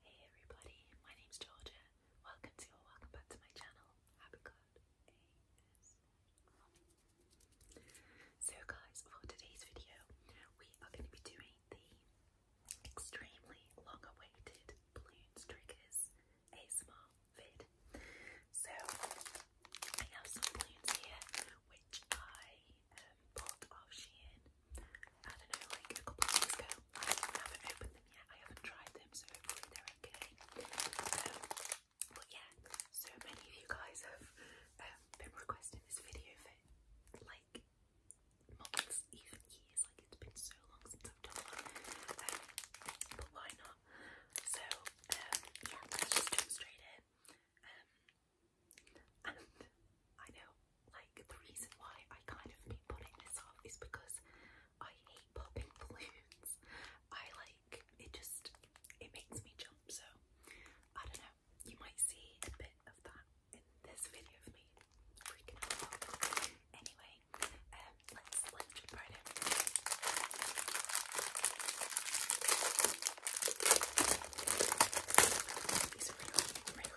Hey everybody, my name's Georgia. Welcome to or welcome back to my channel, Happy Cloud So guys, for today's video, we are going to be doing the extremely long-awaited balloons triggers ASMR vid. So I have some balloons here, which I um, bought off Shein. I don't know, like a couple of weeks ago. I haven't opened them yet, I haven't tried them, so hopefully they're okay. Um, but yeah, so many of you guys have um, been requesting this video for like months, even years, like it's been so long since I've done one. Um, but why not? So yeah, let's just jump straight in. And I know, like, the reason why I kind of been putting this off is because I hate popping balloons. I like it, just it makes me jump. So I don't know. You might see a bit of that in this video of me freaking out. Anyway, um, let's jump right in.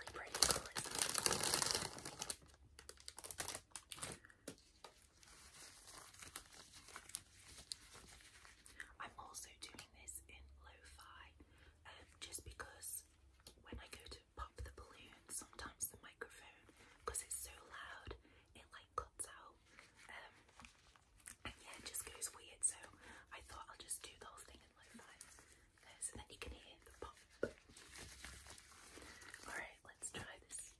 I'm also doing this in lo-fi um, just because when I go to pop the balloon, sometimes the microphone, it's so loud, it like cuts out. Um, and yeah, just goes weird. So I thought I'll just do the whole thing everything then you can hear the pop. Alright, let's try this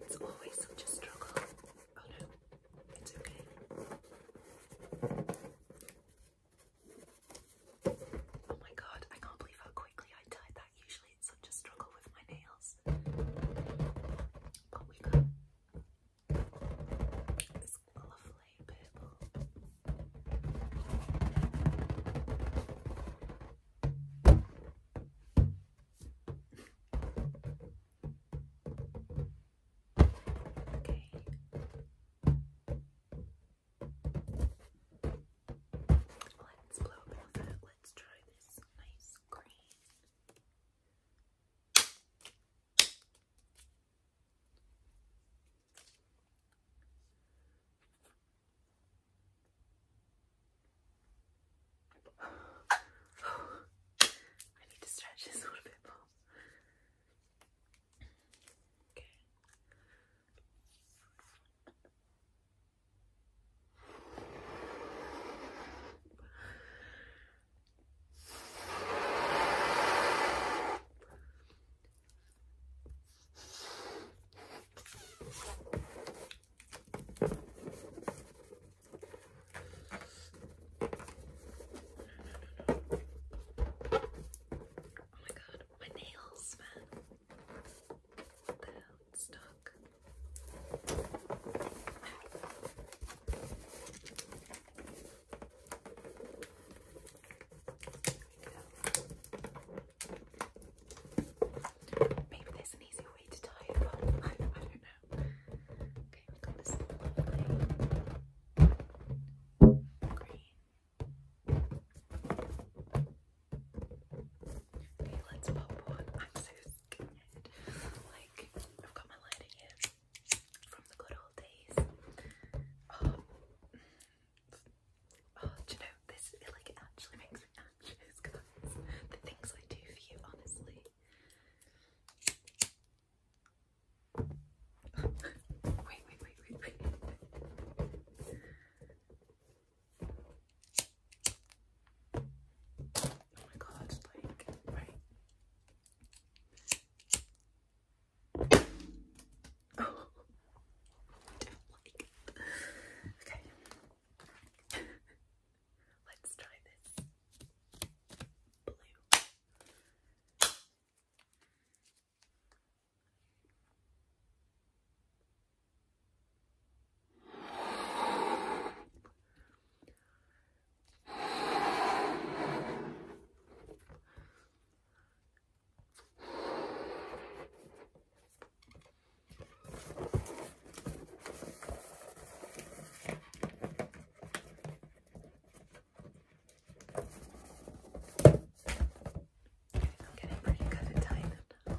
it's always such a struggle. Oh no, it's okay. Oh my god, I can't believe how quickly I tied that. Usually it's such a struggle with my nails. But we go lovely purple. Okay. Let's blow up another. Let's try this nice green. I need to stretch this a little bit more. Okay no, no. Oh my god, my nails, man. What the hell? It's stuck. Maybe there's an easy way to tie it I, don't know. Okay, we've got this Okay, let's pop one. I'm so scared. Like, I've got my lighting from the good old days. Um, oh, oh you know this? It, like it actually makes me anxious, guys. The things I do for you, honestly. wait, wait, wait, wait, wait. Oh my god, like, right. Oh, Okay. Let's try this. Blue. I'm getting pretty good at tying them.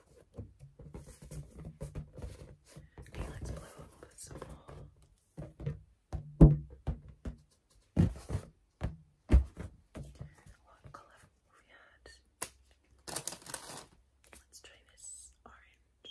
Okay, let's blow up with some more. What colour have we had? Let's try this orange.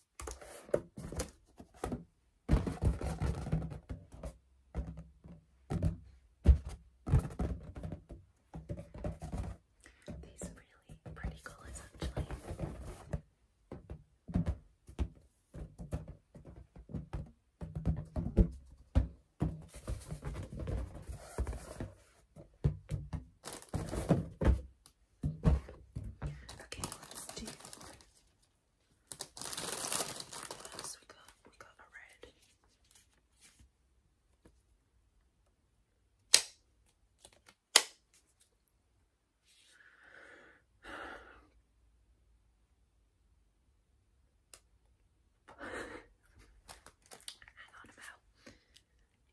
These are really pretty colors actually. Okay, let's do. What else we got? We got a red. Hang on, I'm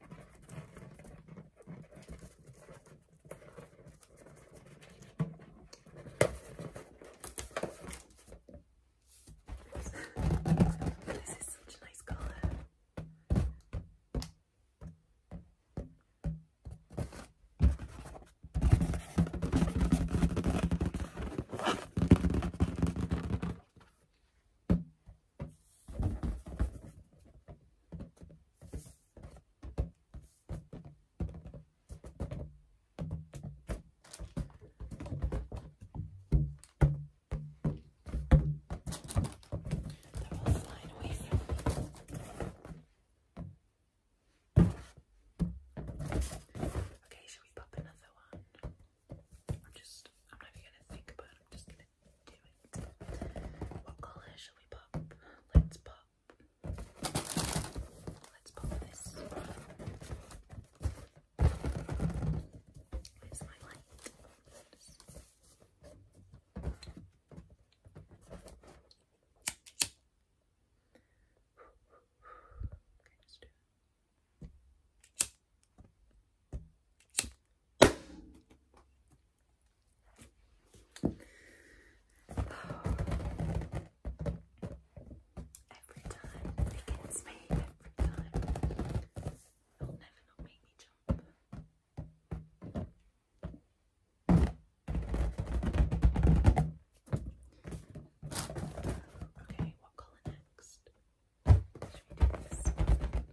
This is such a nice colour. That will slide away from me. Okay, should we pop another one? I'm just, I'm not even gonna think about I'm just gonna what color should we pop? Let's pop. Let's pop this. Where's my light? Okay, let's do it. Every time it gets me, every time it'll never make me jump. Okay, what colour next?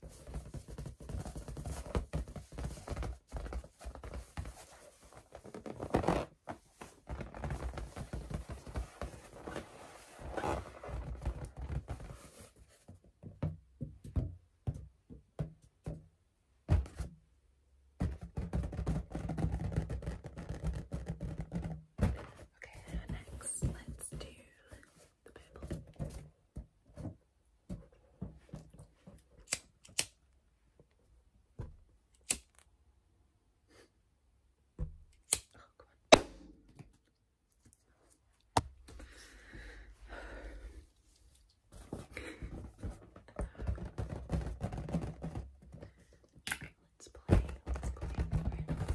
Okay, now next, let's do the purple. let's play. Let's play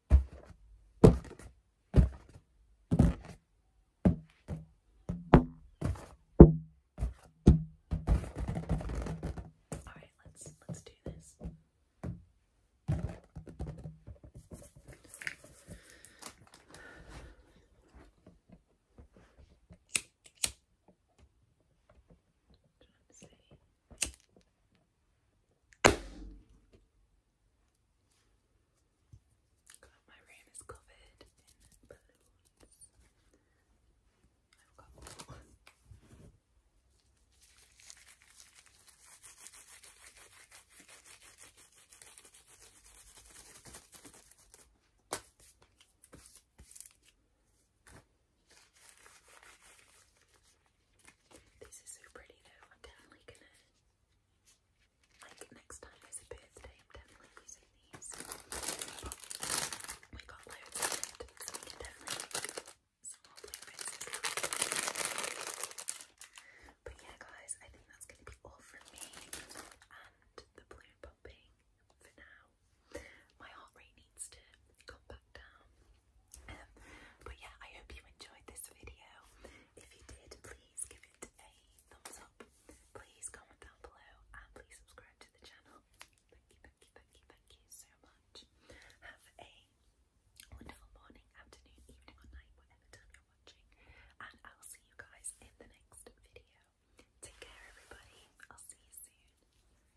All right, let's let's do this. Trying to see. God, my room is covered in balloons. I've got this is so pretty I'm definitely gonna like next time there's a birthday. I'm definitely using these. We got loads we can definitely make some But yeah, guys, I think that's gonna be all from me and the balloon popping for now. My heart rate needs to come back down. but yeah, I hope you enjoyed this video. If you did, please give it a thumbs up. Please comment down below and please subscribe to the channel. Thank you, thank you, thank you, thank you so much. Have a wonderful morning, afternoon, evening, or night, whatever time you're watching. And I'll see you guys in the next video. Take care, everybody. I'll see you soon.